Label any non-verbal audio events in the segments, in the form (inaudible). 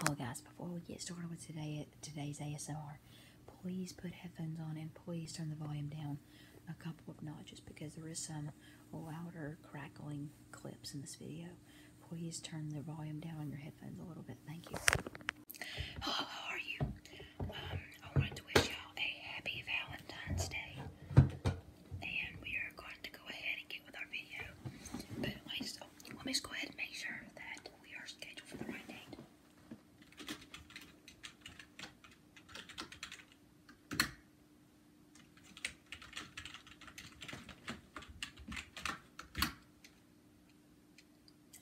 Hello guys, before we get started with today today's ASMR, please put headphones on and please turn the volume down a couple of notches because there is some louder crackling clips in this video. Please turn the volume down on your headphones a little bit. Thank you. how are you? Um, I wanted to wish y'all a happy Valentine's Day. And we are going to go ahead and get with our video. But let me just oh, go ahead and make sure that we are scheduled for the right date.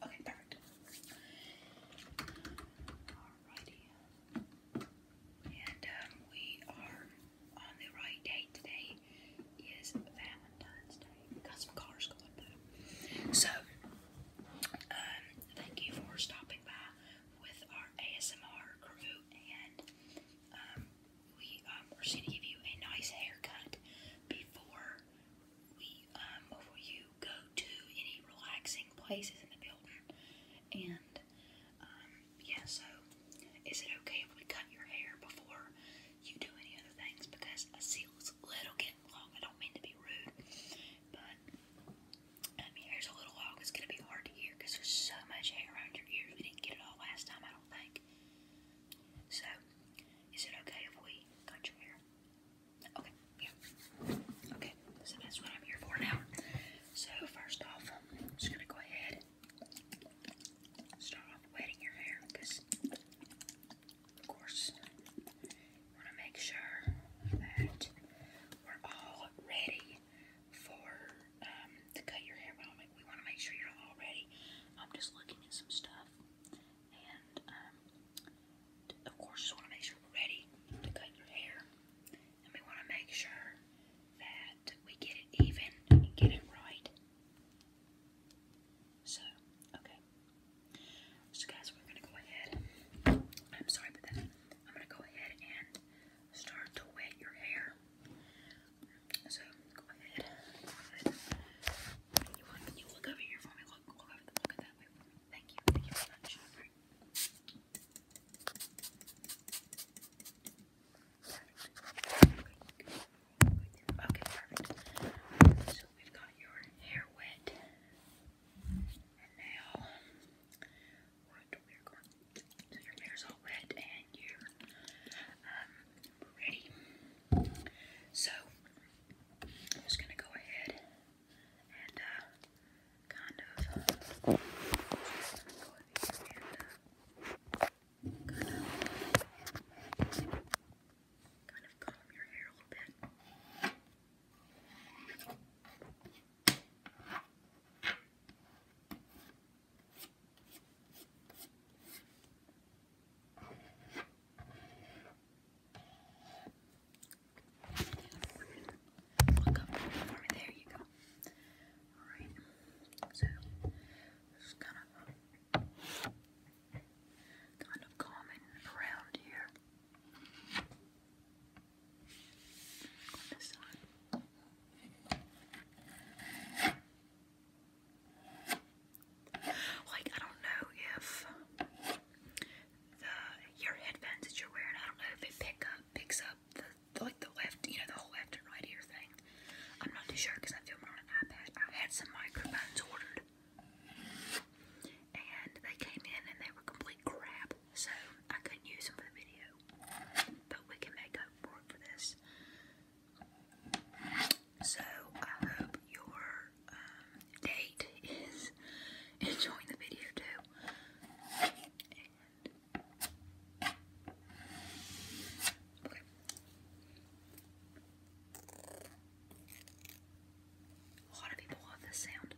Okay, perfect. Um, we are on the right date today. Day Valentine's Day. Got some cars going by. So, um, thank you for stopping by with our ASMR crew, and um, we um, are going to give you a nice haircut before we um, before you go to any relaxing places in the building. And yeah, so is it okay if we cut your hair before you do any other things because I see it's a little getting long. I don't mean to be rude, but I mean, a little long. It's going to be hard to hear there's so much hair around your ears. We didn't get it all last time, I don't think. So, is it okay if we cut your hair? Okay, yeah. Okay, so that's what I'm here for now. So, first off, I'm just going to go ahead and start off wetting your hair because of course, we want to make sure that we're all ready for um, to cut your hair. We want to make sure you're all ready. I'm just looking at some stuff, and um, of course, just want to make sure we're ready to cut your hair, and we want to make sure that we get it even and get it right. So, okay, so guys, we're gonna go ahead. I'm sorry but I'm gonna go ahead and start to wet your hair. So go ahead. You, look over here for me. Look, look over the, look at that way Thank you. Thank you Okay, perfect. So we've got your hair wet. And now, your hair's all wet and you're um, ready. So, I'm just going to go ahead and uh, kind of go over here kind of comb your hair a little bit. Look up over there you go. Alright. So just kind of kind of common around here. this side. Like, I don't know if the your headphones that you're wearing, I don't know if it pick up picks up the, like the left, you know, the whole left and right ear thing. I'm not too sure because I film it on an iPad. I had some microphones ordered and they came in and they were complete crap, so I couldn't use them for the video. But we can make up for this. So I hope your um, date is (laughs) enjoying the video too. okay. A lot of people love this sound.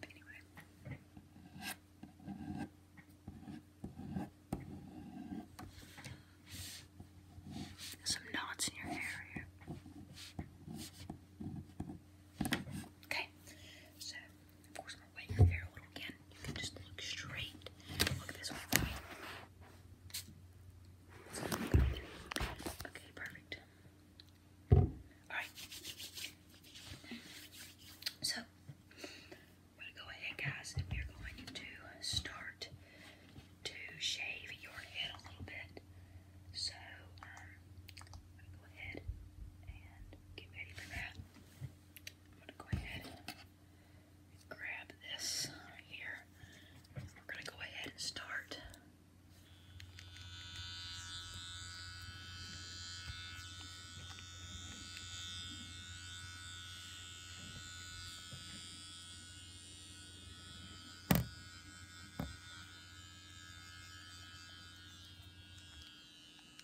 But anyway. Some knots in your hair here. Okay, so force my way in there a little again. You can just look straight. Look this way for Okay, perfect. Alright. So, I'm going to go ahead, guys, and are going to start to shave your head a little bit. So, um, go ahead and get ready for that. I'm gonna go ahead and grab this here. We're gonna go ahead and start.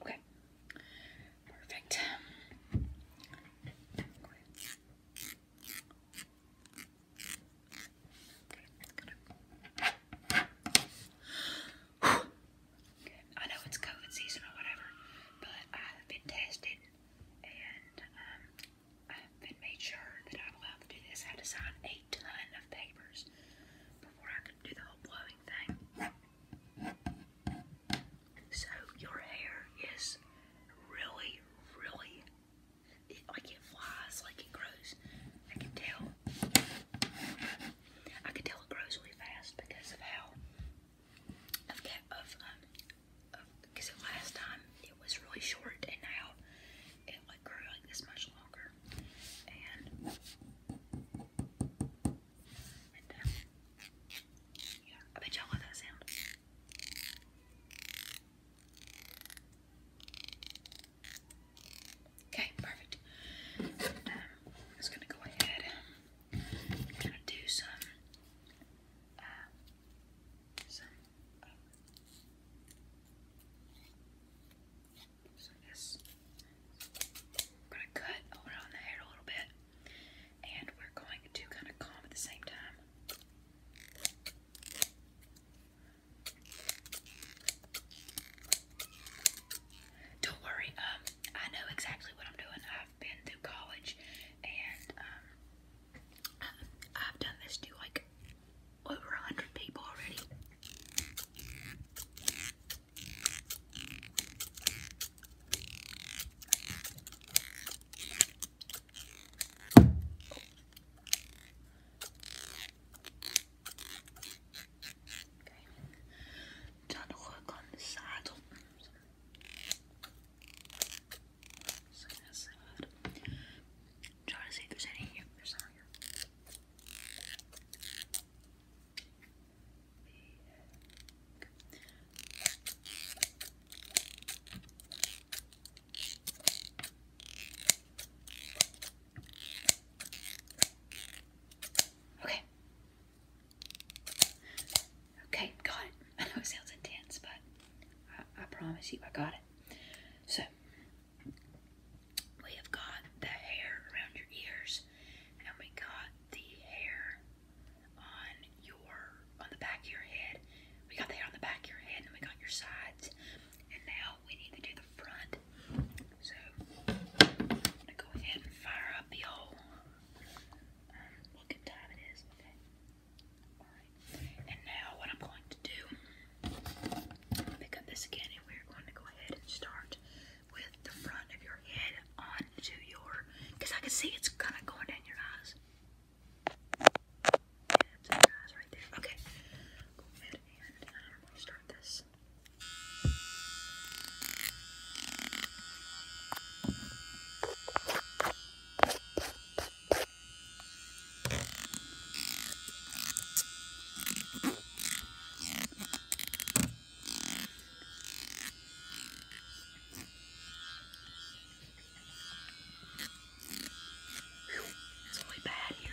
Okay, perfect. Okay. I know it's COVID season or whatever, but I've been tested and um, I've been made sure that I'm allowed to do this. I had to sign a ton of papers before I could do the whole blowing thing. So your hair is really, really. like it flies, like it grows I can tell. I can tell it grows really fast because of how of um because last time it was really short and now it like grew like this much longer and uh, yeah I bet y'all love that sound. Okay, perfect. Um, I'm just gonna go ahead. gonna do some, uh, some, so this. I'm gonna cut on the hair a little bit, and we're going to kind of comb at the same time. Don't worry, um, I know exactly what I'm doing. I've been through college and um, I've done this to like over a hundred people already. Dan work on the side of see if there's any Okay. Okay, got it. (laughs) I know it sounds intense, but I, promise you I got it. So, we have got the hair around your ears, and we got the hair on your, on the back of your head. We got the hair on the back of your head, and we got your sides. And now we need to do the front so I'm gonna go ahead and fire up the old um, look at time it is, okay? Alright. And now what I'm going to do pick up this again and we're going to go ahead and start with the front of your head onto your because I can see it's kinda going down your eyes. Yeah, that's your eyes right there. Okay. Go ahead and um, start this. It's really bad here.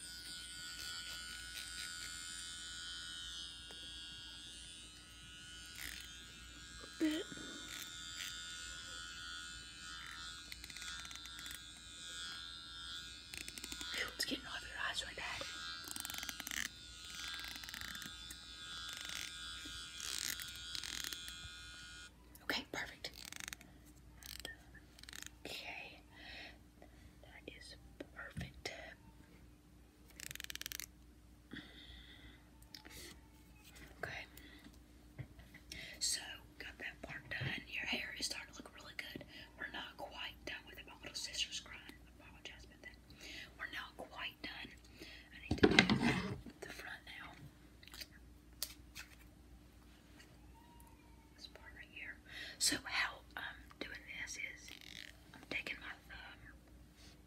it's getting all your eyes right now. Okay, perfect. Okay, that is perfect. Okay. So, got that part done. Your hair is starting to look really good. We're not quite done with it. My little sister's crying. apologize about that. We're not quite done. I need to do the front now. This part right here. So how I'm doing this is I'm taking my thumb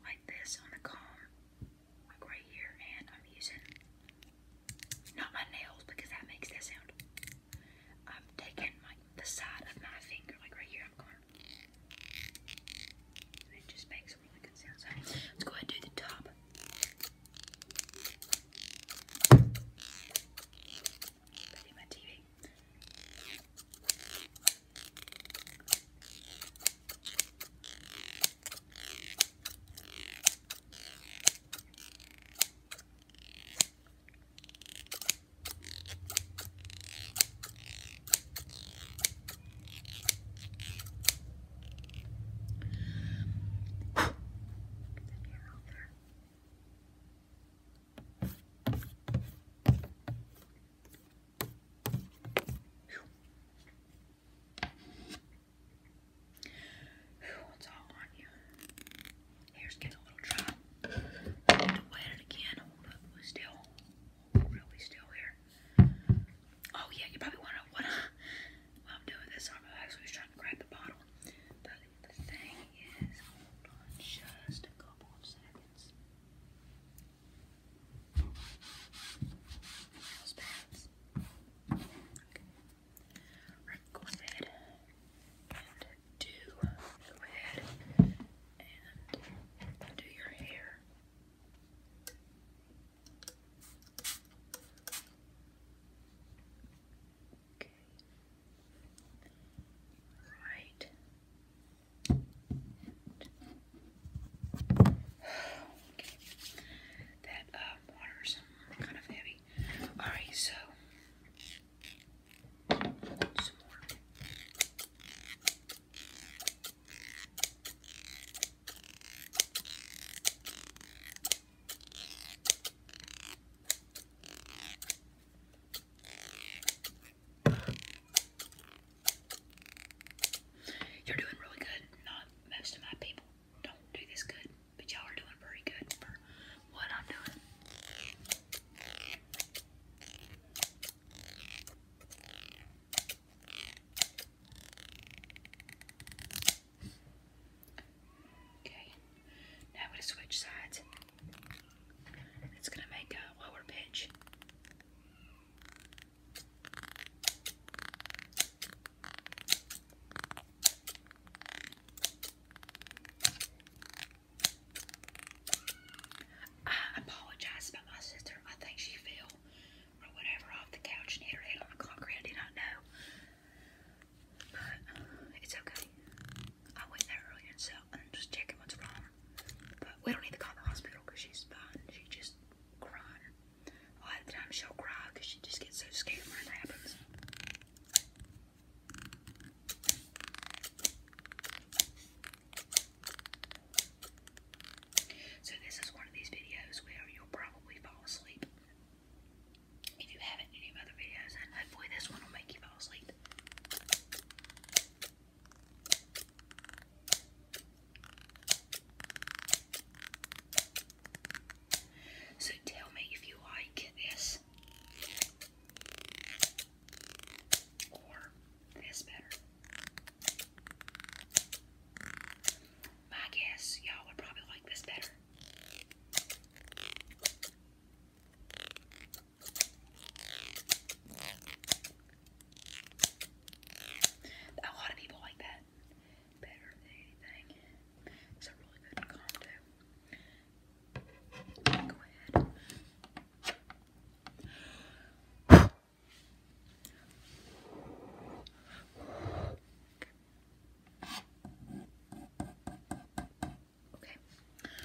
like this on the comb, like right here, and I'm using not my nails because that makes that sound. I'm taking like the side of my finger, like right here, And it just makes a really good sound. let's go ahead and do the top. Betty my TV. Get the hair out there. It's all on you. Hair's getting a little dry. have to wet it again. Hold up, still, really still here. Oh yeah, you probably want to. What? While I'm doing this, I'm actually trying to grab the bottle the thing is, hold on just a couple of seconds. Okay. Right, go and do, go and do your hair. Okay. Right. okay. That uh, water's kind of heavy. Alright, so you're doing really good. Not most of my people don't do this good, but y'all are doing pretty good for what I'm doing. Okay. Now I'm going to switch sides. It's going to make a lower pitch. I apologize about my sister. I think she fell or whatever off the couch and hit her head on the concrete. I did not know. But it's okay. I went there earlier and so and just checking what's wrong. But we don't need to call the hospital because she's fine. She just cries. A lot of times she'll cry because she just gets so scared when it happens. So this is one of these videos where you'll probably fall asleep. If you haven't seen any other videos, and hopefully this one will make you fall asleep. So tell me if you like this or this better. My guess, y'all would probably like this better. A lot of people like that better than It's a really good combo. Go ahead. Okay.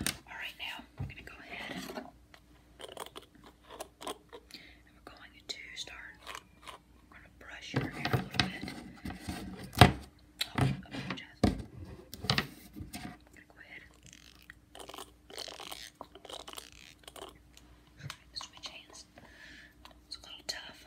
All right, now we're going to go ahead and we're going to start. We're going to brush your hair a little bit. Oh, apologize. going to go ahead. Switch hands. It's a little tough.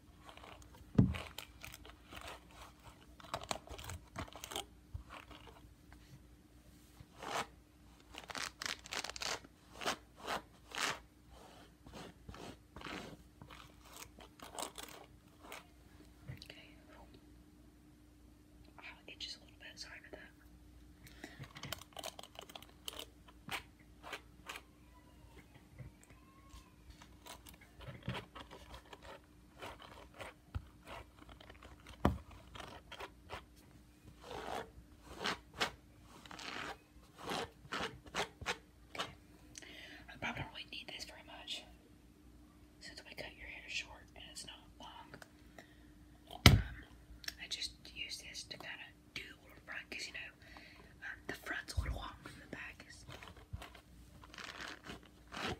Okay. Oh, it a little bit. Sorry about that. I probably don't really need this very much since we cut your hair short and it's not long. Um, I just use this to kind of do the front because you know um, the front's a little long from the back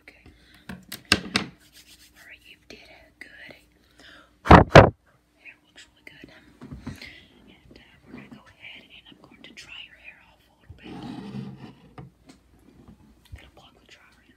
Okay. you did it. Good. Hair looks really good. And uh, we're going to go ahead and I'm going to dry your hair off a going to block the dryer.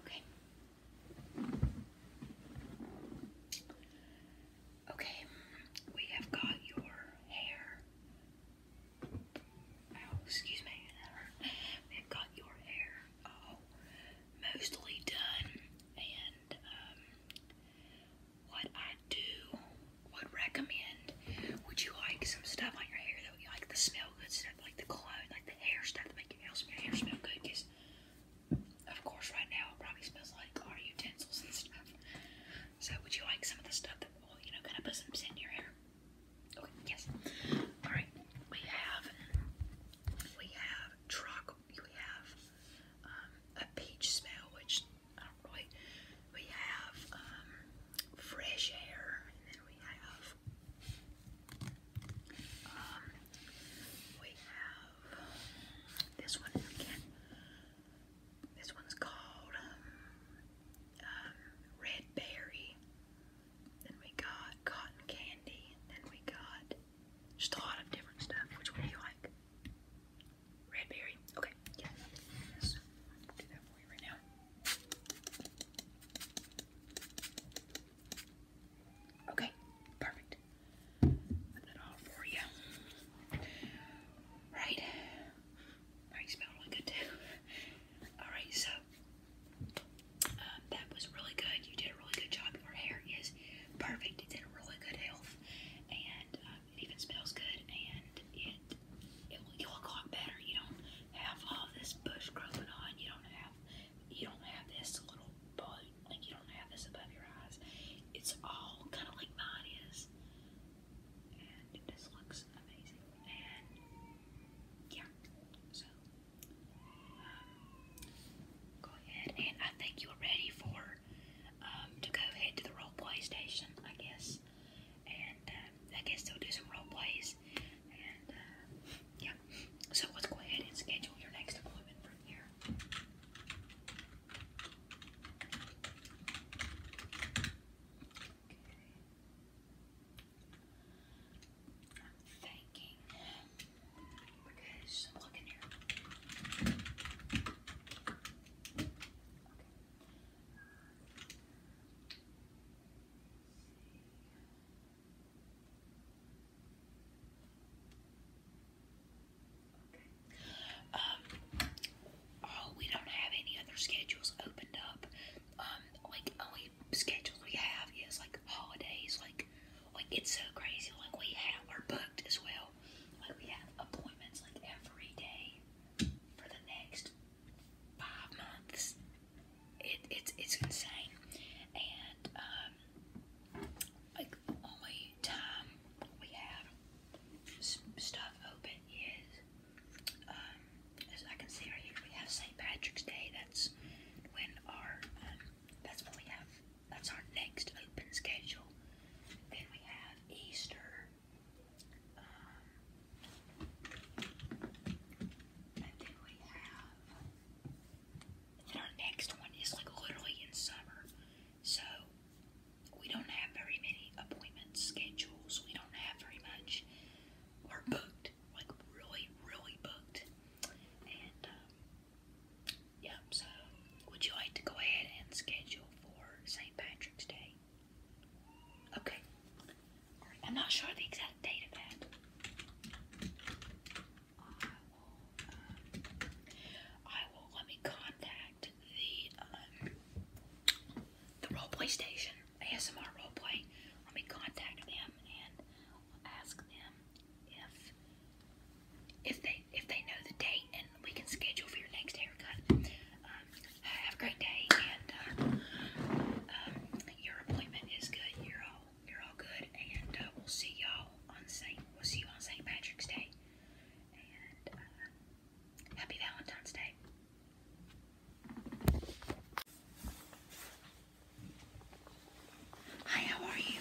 Okay. Okay, we have got your hair. Oh, excuse me. We have got your hair mostly done, and um, what I do would recommend. Would you like some stuff on your hair that would you like the smell good stuff, like the cologne, like the hair stuff that make your hair smell, hair smell good? Because of course, right now it probably smells like our utensils and stuff. So, would you like some of the stuff that will, you know, kind of put some scent in your hair? Okay, yes. All right, we have we have truck, we have um, a peach smell, which I don't really. We have um, fresh air, and then we have um, we have this one. I This one's called um, um, Red Berry. Then we got cotton candy. Then we got just a lot of different stuff. Which one like? Red berry. Okay. Yeah. So I'm do that for you right now. Okay. Perfect. Put that all for you. Right. Are you smelling good too? All right. So um, that was really good. You did a really good job. Your hair is perfect. It's in really good health, and um, it even smells good, and it it will look a lot better. You don't have all this bush growing on. You don't have you don't have this little bug like you don't have this above your eyes. It's all kind of like mine is, and it just looks amazing. And yeah, so um, go ahead, and I think you're ready for um, to go ahead to the role PlayStation. I guess and uh, I can still do some role plays. And uh, yeah, so let's go ahead and schedule your next appointment from here. Okay. I'm thinking because looking here. Um, oh, we don't have any other schedules opened up. Um, like only schedules we have is like holidays. Like, like it's so crazy. Like we have are booked as well. Like we have appointments like every day for the next five months. It, it's it's insane, and um, like only time we have stuff open is um, as I can see right here we have St. Patrick's Day. That's when our um, that's when we have that's our next open schedule. Then we have Easter. Um, and we have. Then our next one is like literally in summer, so we don't have very many appointment schedules. We don't have very much. We're booked, like really, really booked. And um, so would you like to go ahead and schedule for St. Patrick's Day? Okay. I'm not sure the exact date of that. I will, uh, uh, let me contact the, um, the roleplay station, ASMR roleplay. Let me contact them and ask them if, if they, if they know the date and we can schedule for your next haircut have a great day, and uh, um, your appointment is good. You're all you're all good, and uh, we'll see y'all on Saint. We'll see you on Saint Patrick's Day, and uh, happy Valentine's Day. Hi, how are you?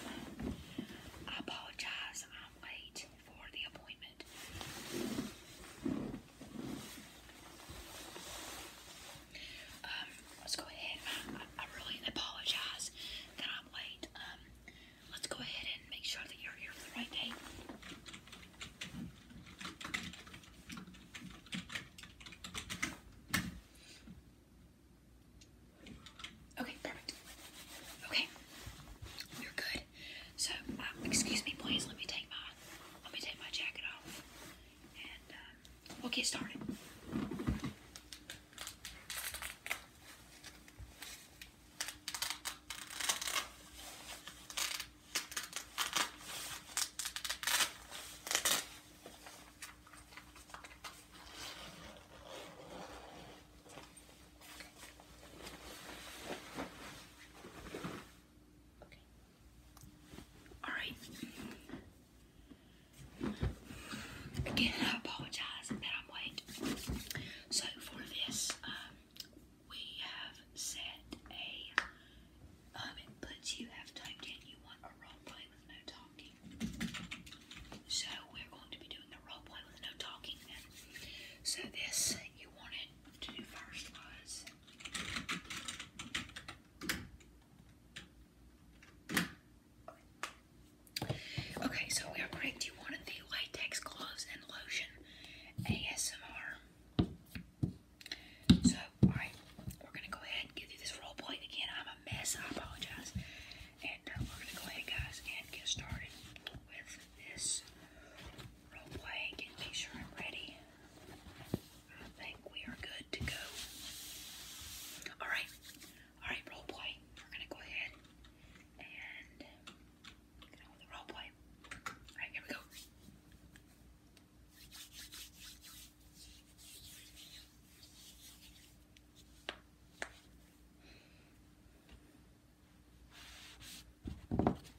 apologize. I'm late for the appointment. Um, let's go ahead. I, really apologize that I'm late. Um, let's go ahead and make sure that you're here for the right date. Okay, perfect. Okay, we're good. So, um, excuse me, please. Let me take my let me take my jacket off, and um, we'll get started. All right. Again, I apologize that I'm late. So for this, um, we have set a. Um, you have typed in you want a role with no talking. So we're going to be doing a role with no talking So this you wanted to do first was Okay, so we are going to one of the latex gloves and lotion ASMR. So, alright, we're gonna go ahead and give you this role play again. I'm a mess, I apologize. And uh, we're gonna go ahead, guys, and get started with this role play. Get, make sure I'm ready. I think we are good to go. Alright, alright, role play. We're gonna go ahead and get the role play. Alright, here we go.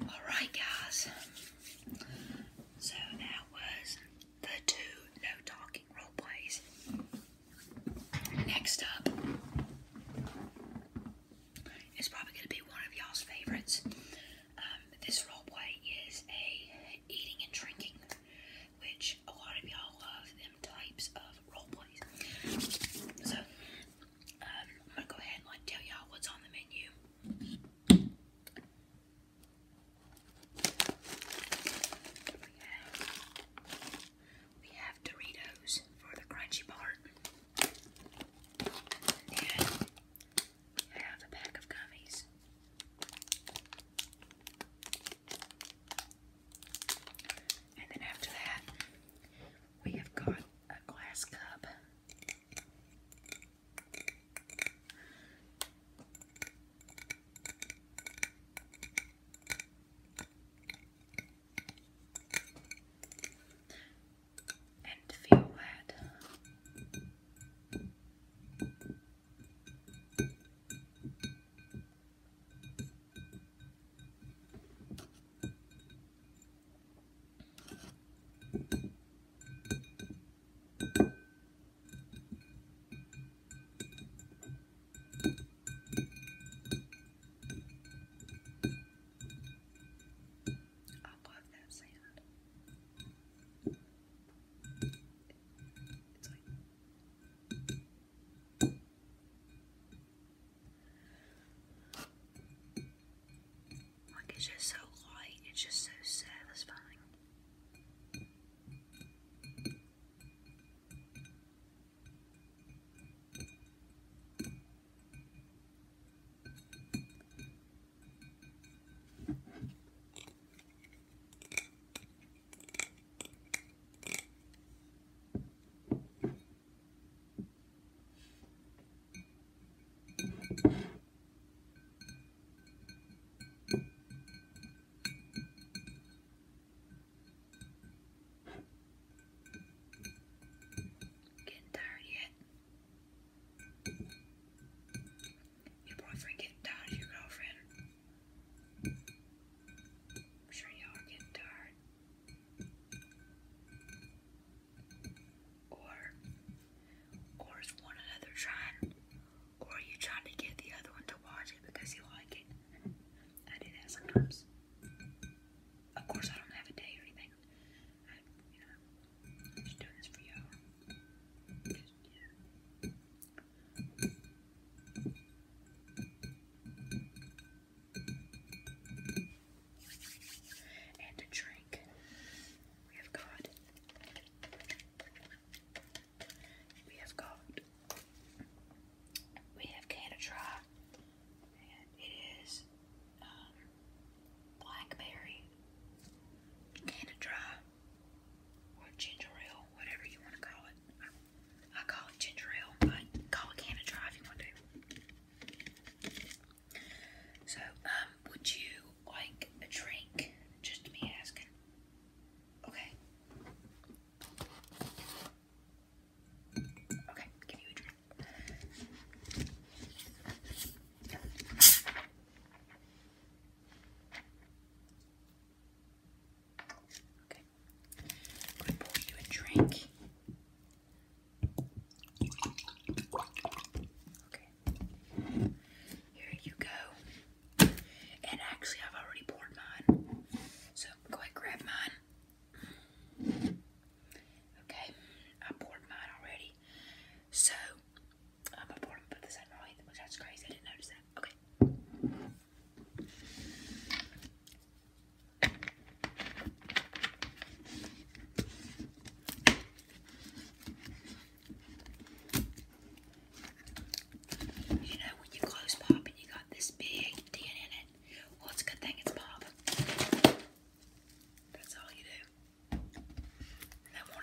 Alright, guys, so that was the two no talking role plays. Next up is probably going to be one of y'all's favorites. Um, this this roleplay is a eating and drinking, which a lot of y'all love them types of roleplays. So um, I'm gonna go ahead and like tell y'all what's on the menu. We have, Doritos for the crunchy part. I have a pack of gummies. And then after that, we have got a glass cup. And feel that. I love that sound. It's like it's just so light, it's just so satisfying. Getting tired yet? Your boyfriend getting tired of your girlfriend. I'm sure y'all are getting tired. Or, or is one another trying, or are you trying to get the other one to watch it because you like it? I do that sometimes. Of course, I don't have a day or anything. I, am just doing this for y'all. Yeah. And a drink, we have got. We have got. We have Canatra, and it is um, blackberry. Canatra ginger ale, whatever you want to call it. I, call it ginger ale, call it can of dry if you want to. So, um, would you like a drink? Just me asking. Okay. Okay, give you a drink. Okay. I'm going to pour you a drink. Okay. Here you go. And actually, I've already poured mine. So go ahead, grab mine. Okay. I poured mine already. So that's crazy. I didn't notice that. Okay. You know when you close pop and you got this big tin in it? Well, it's a good thing it's pop. That's all you do. No more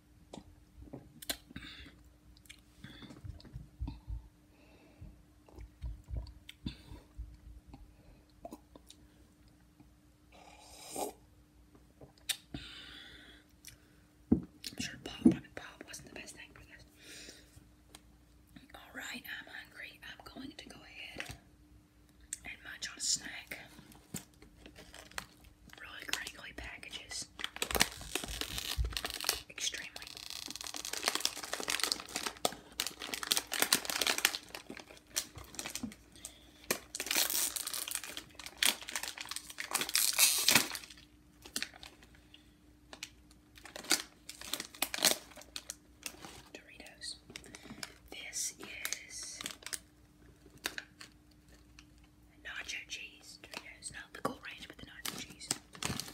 I'm sure Bob, wasn't the best thing for this. Alright, I'm hungry. I'm going to go ahead and munch on a snack. Really crinkly packages. Extremely. This is nacho cheese Doritos. No, the cool range with the nacho cheese. Okay.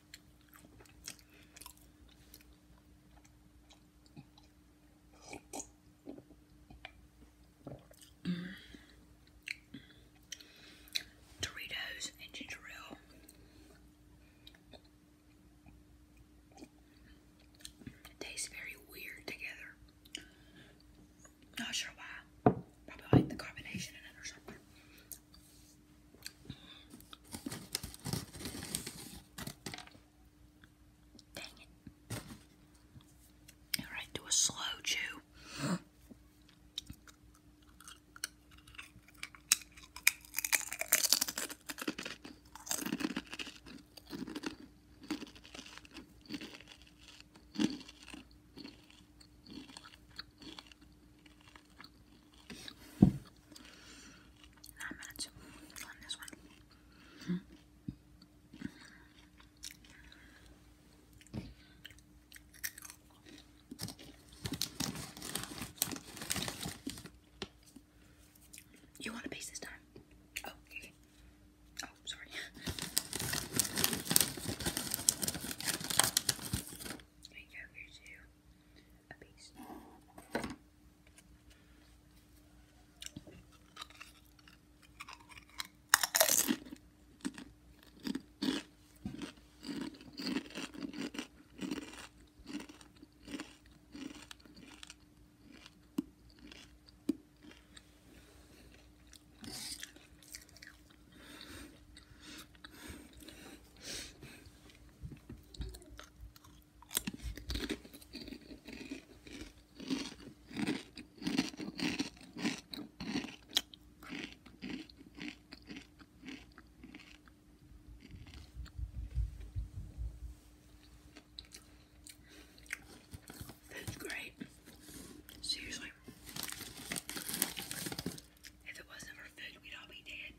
Mm. and ginger ale. It tastes very weird together. Not sure why. Probably like the combination of it or something. Dang it. Alright, do a slow chew. Nine minutes on this one. You want a piece this time? Oh, okay. Oh, sorry. (laughs) and go over to a piece. That's great. Seriously. If it wasn't for food, we'd all be dead.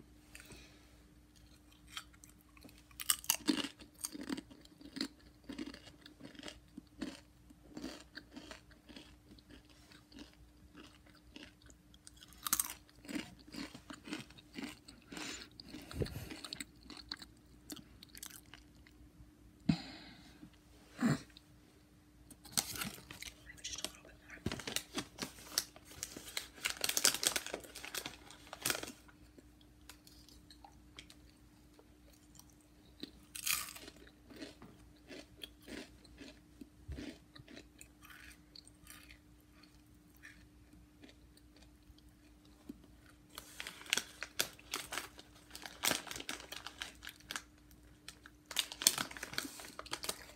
Maybe just a little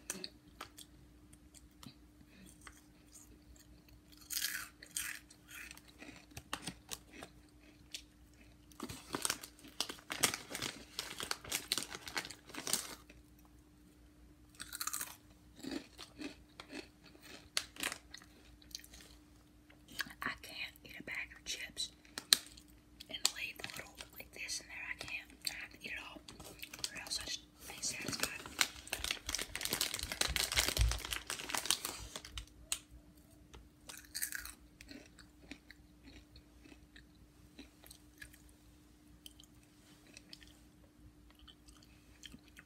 bit more. I can't eat a bag of chips and leave little like this in there. I can't. I have to eat it all, or else much. Make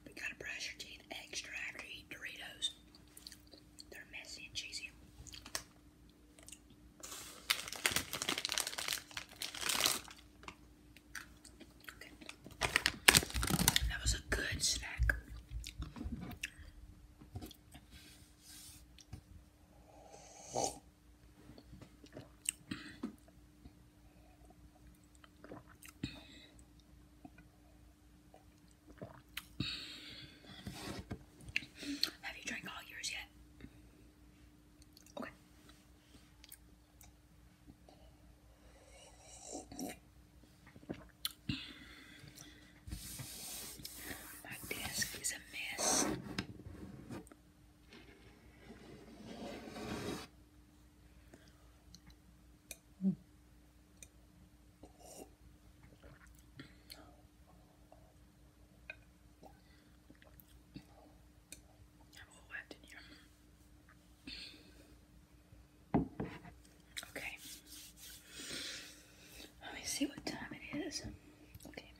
We gotta brush your teeth extra after eat Doritos. They're messy and cheesy. That was a good snack. Have you drank all yours yet? Okay. My desk is a mess. Okay. Let me see what time it is. Okay.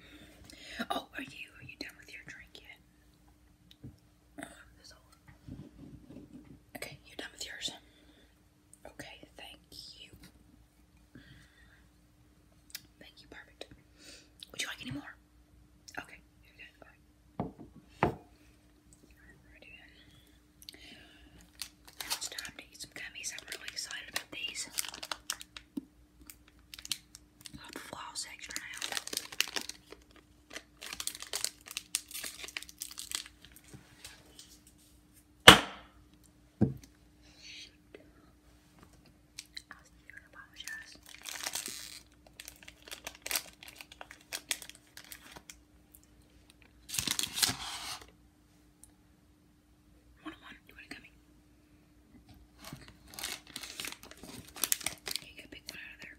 Oh, are you are you done with your drink yet? Okay, you're done with yours. Okay, thank you. Thank you, perfect. Would you like any more? Okay it's time to eat some gummies. I'm really excited about these. Love the floss extra now. I apologize. One one, you want to gummy? You get a big one out of there.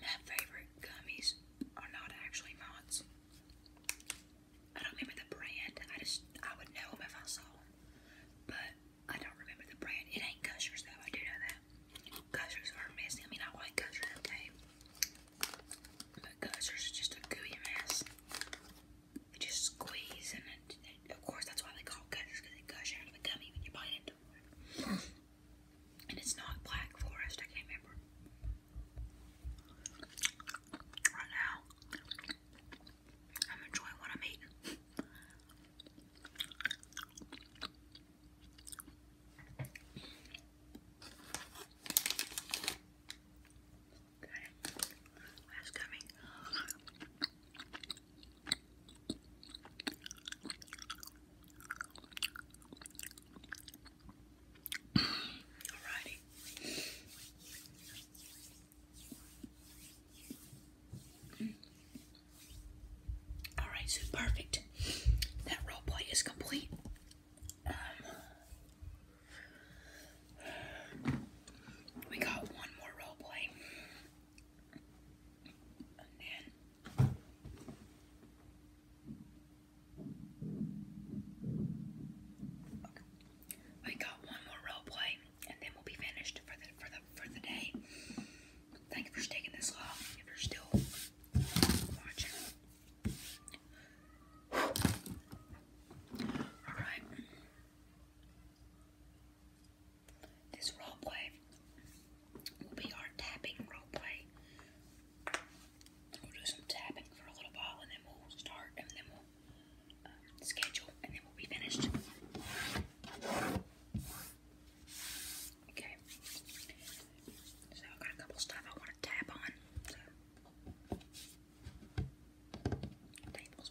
my favorite gummies are not actually Mott's. I don't remember the brand. I just I would know them if I saw them, but I don't remember the brand. It ain't Gushers though. I do know that. Gushers are messy. I mean, I like Gushers, okay, but Gushers are just a gooey mess. You just squeeze, and, it, of course that's why they call Gushers because they gush out of the gummy when you bite into it. And it's not Black Forest, I can't remember. Right now, I'm enjoying what I'm eating. Okay, last coming. All right, so perfect. That role play is complete. Um, we got one more role play, Okay. got one more role play, and then we'll be finished for the for the for the day. Thank you for sticking this long. If you're still watching. Alright. This role play will be our tapping roleplay. We'll do some tapping for a little while and then we'll start and then we'll um, schedule and then we'll be finished. Okay. So I've got a couple stuff I want to tap on. So. Tables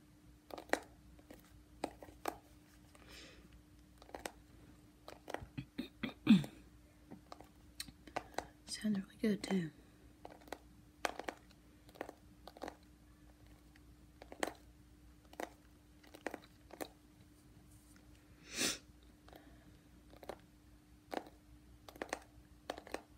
Sounds really good too.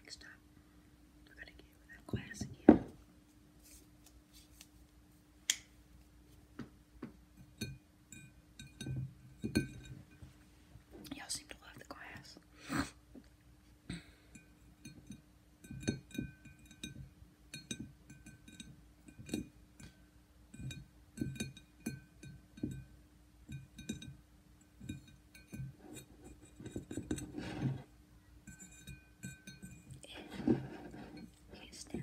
Next up, we're going to get that glass again. Y'all seem to love the glass. He's still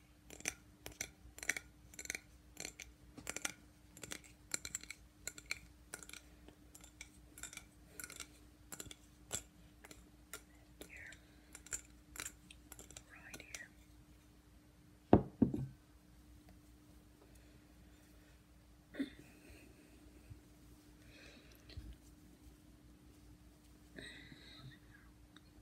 Here. Right here. (clears throat) (clears throat)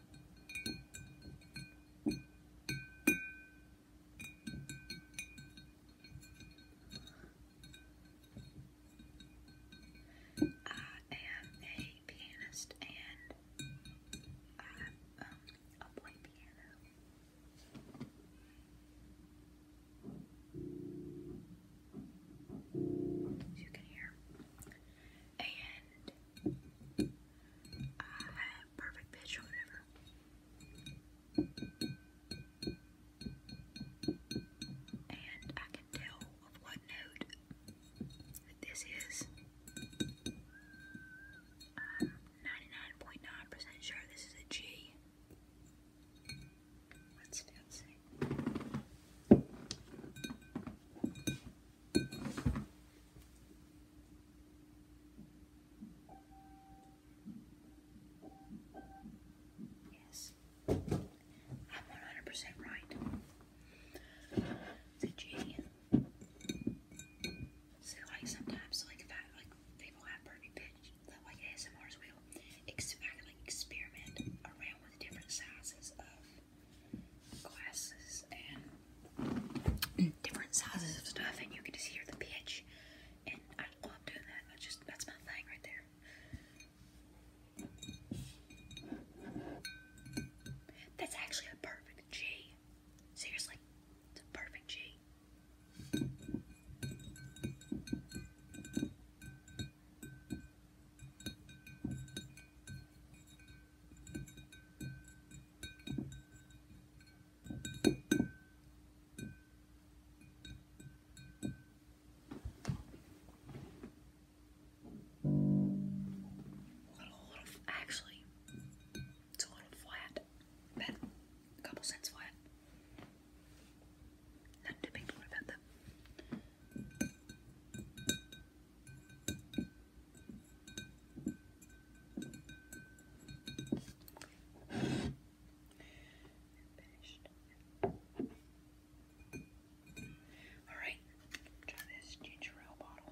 I am a pianist and I um, I'll play piano. As you can hear, and uh, perfect pitch or whatever. And I can tell of what note this is. Uh, i 99.9% percent sure this is a G. Let's Yes, I'm 100% right. The G. So, like, sometimes, like, if like, people have perfect pitch, that, like, ASMRs will ex like, experiment around with different sizes of glasses and different sizes of stuff, and you can just hear the pitch. And I love doing that. I just that's my thing right there. That's actually a perfect G. Seriously, it's a perfect G. Little, little, actually, it's a little flat, but a couple cents flat. Nothing too big to worry about, though. Finished. All right, try this ginger ale bottle.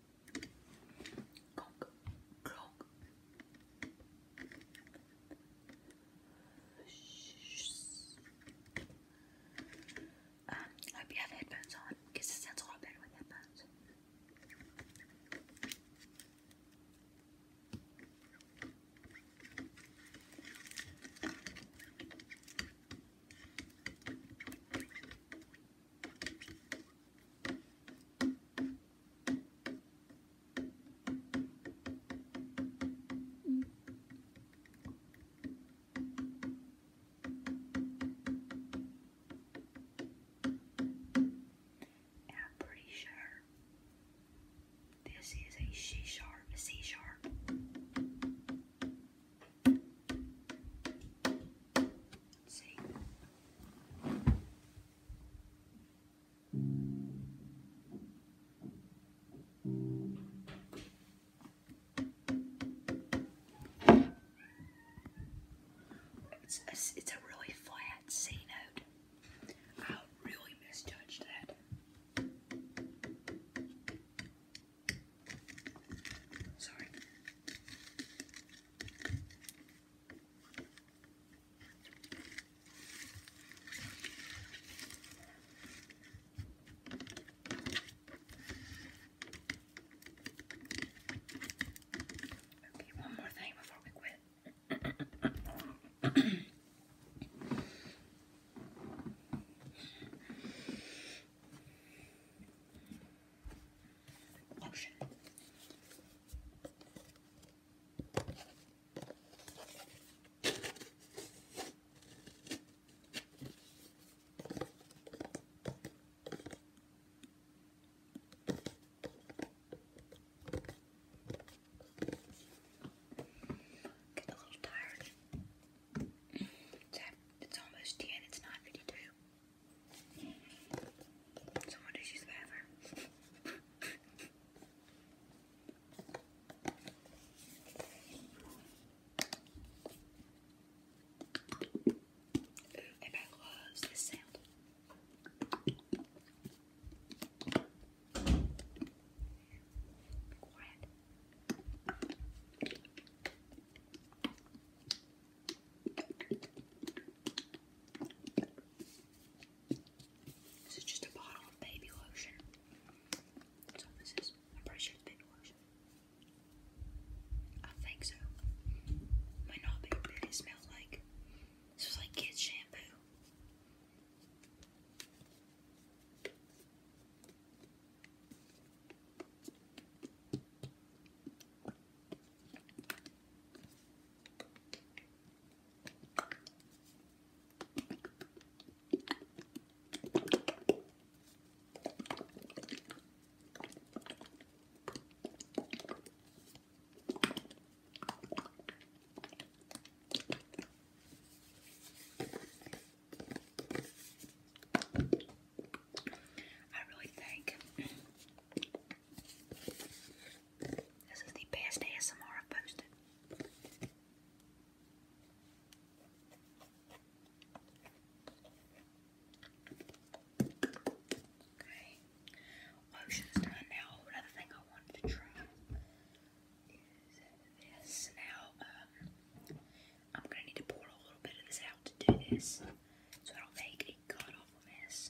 Clonk, I hope you have headphones on it sounds a lot better with headphones. I'm pretty sure this is a C sharp, C sharp see. it's a really flat C note. I really misjudged that. Sorry. Okay, one more thing before we quit. Get a little tired. It's, it's almost 10, it's 9.52. Someone just used the bathroom. Ooh, and I love this sound. This is just a bottle of baby lotion. That's what this I'm pretty sure it's baby lotion. I think so. Might not be, smells like this was like kids shampoo. I really think this is the best ASMR I've posted. Okay. Ocean's done now. Another thing I wanted to try is this. Now, um, I'm going to need to pour a little bit of this out to do this. So it'll make a cut off mess.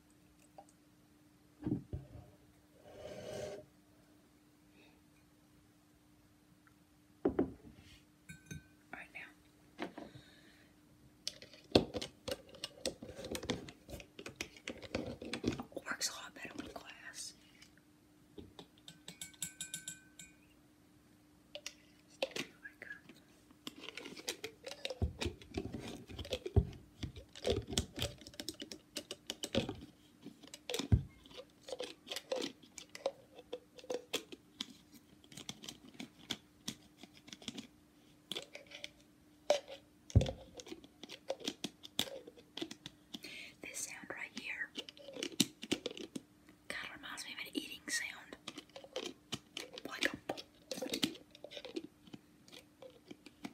Right now. Works a lot better with glass. Oh my God. This sound right here kind of reminds me of an eating sound. Like a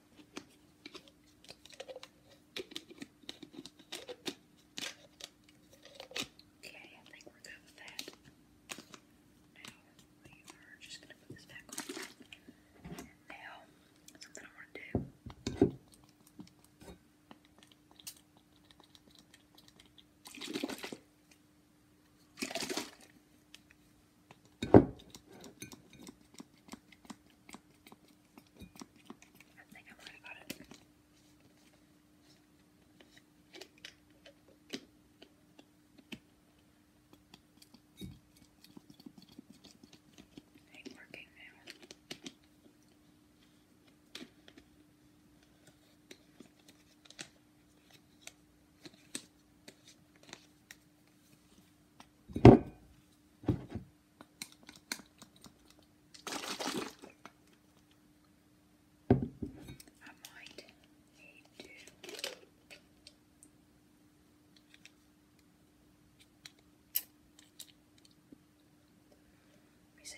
Okay, I think we're good with that. Now, we are just going to put this back on. now, something I want to do. I think I'm right about it. Ain't working now. I might need to let me see.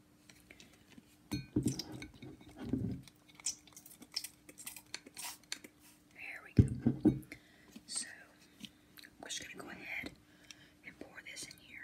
There we go. So, I'm just going to go ahead and pour this in here.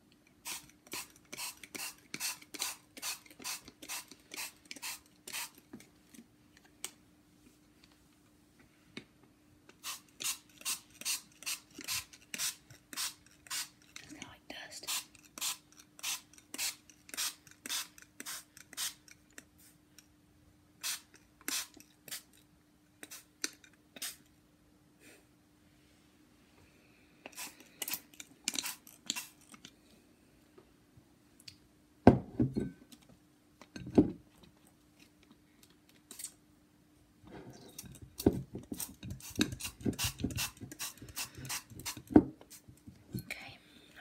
It's kind of like dust. Okay,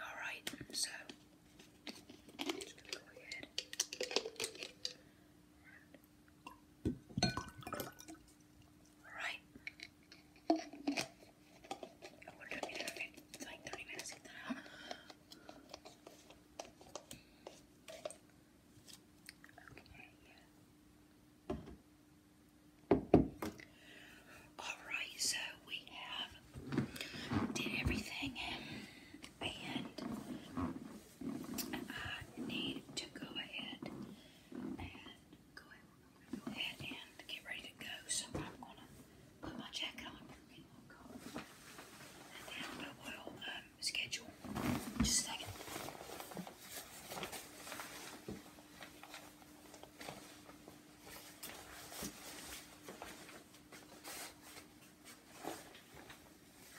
all right, so I'm go ahead Alright. I wonder if it's like 30 minutes Okay, Alright, so we have did everything and I need to go ahead and go ahead, and get ready to go. So I'm gonna put my jacket on in my car, and then i schedule. Just a second.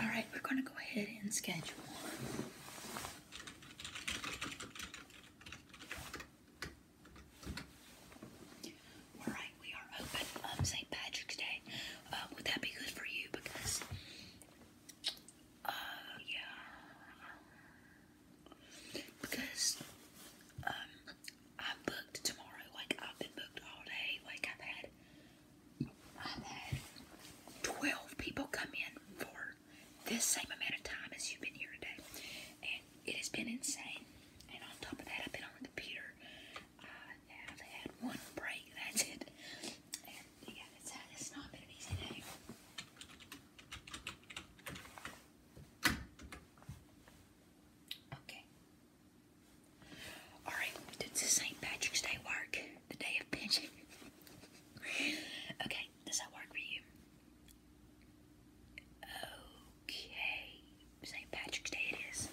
All right, we're going to go ahead and schedule. All right, we are open um, St. Patrick's Day. Uh, would that be good for you? Because, uh, yeah, because um, I'm booked tomorrow. Like I've been booked all day. Like I've had I've 12 people come in for this same amount of time as you've been here today. And it has been insane. And on top of that, I've been on the computer. I have had one break. That's it. And yeah, it's not been an easy day. Okay. Alright, we St. Patrick's Day work, the day of pigeon. okay, does that work for you? Okay, St. Patrick's Day it is.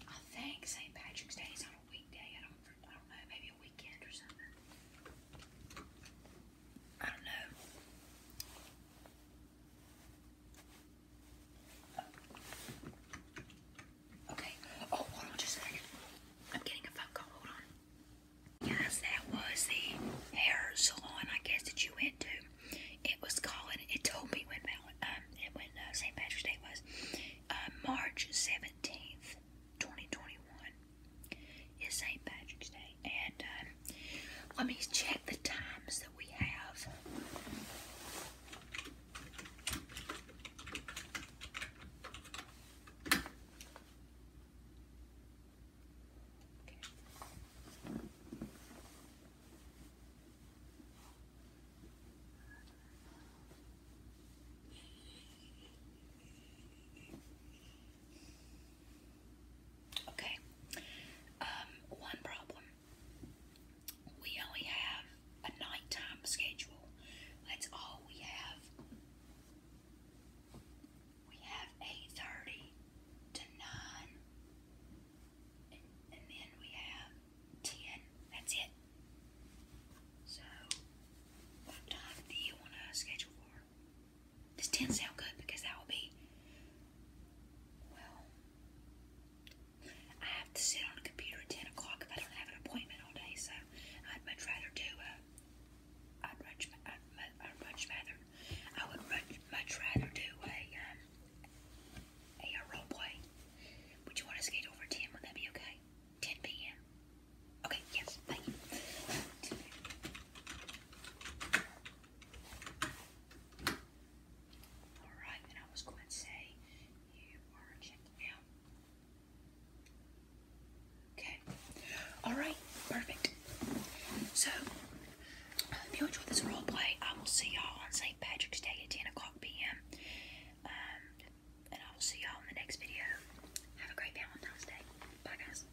I think St. Patrick's Day is on a weekday. I don't, I don't know, maybe a weekend or something. I do Okay. Oh, hold on just a second. I'm getting a phone call. Hold on. Yes, that was the hair salon, I guess, that you went to. It was calling. It told me when um, when uh, St. Patrick's Day was. Uh, March 17th, 2021 It's St. Patrick's Day. Um, let me check the times that we have. Okay. Um, one problem. We only have a nighttime schedule. That's all we have. We have 8.30 to 9. and then we have 10. That's it. So, what time do you want to schedule for? This 10 sound good? Because that will be. Well, I have to sit on a computer at 10 o'clock I don't have an appointment all day, so I'd much rather do a. I'd much, I'd, much rather. I would much, much rather do a, um, a, a role Would you want to schedule for 10? Would that be okay? 10 p.m.? Okay, yes, thank Alright, and I was going to say you are checked out. Okay. Alright, perfect. So, I you enjoyed this role I will see y'all on St. Patrick's Day at 10 o'clock p.m. Um, and I will see y'all in the next video. Have a great Valentine's Day. Bye, guys.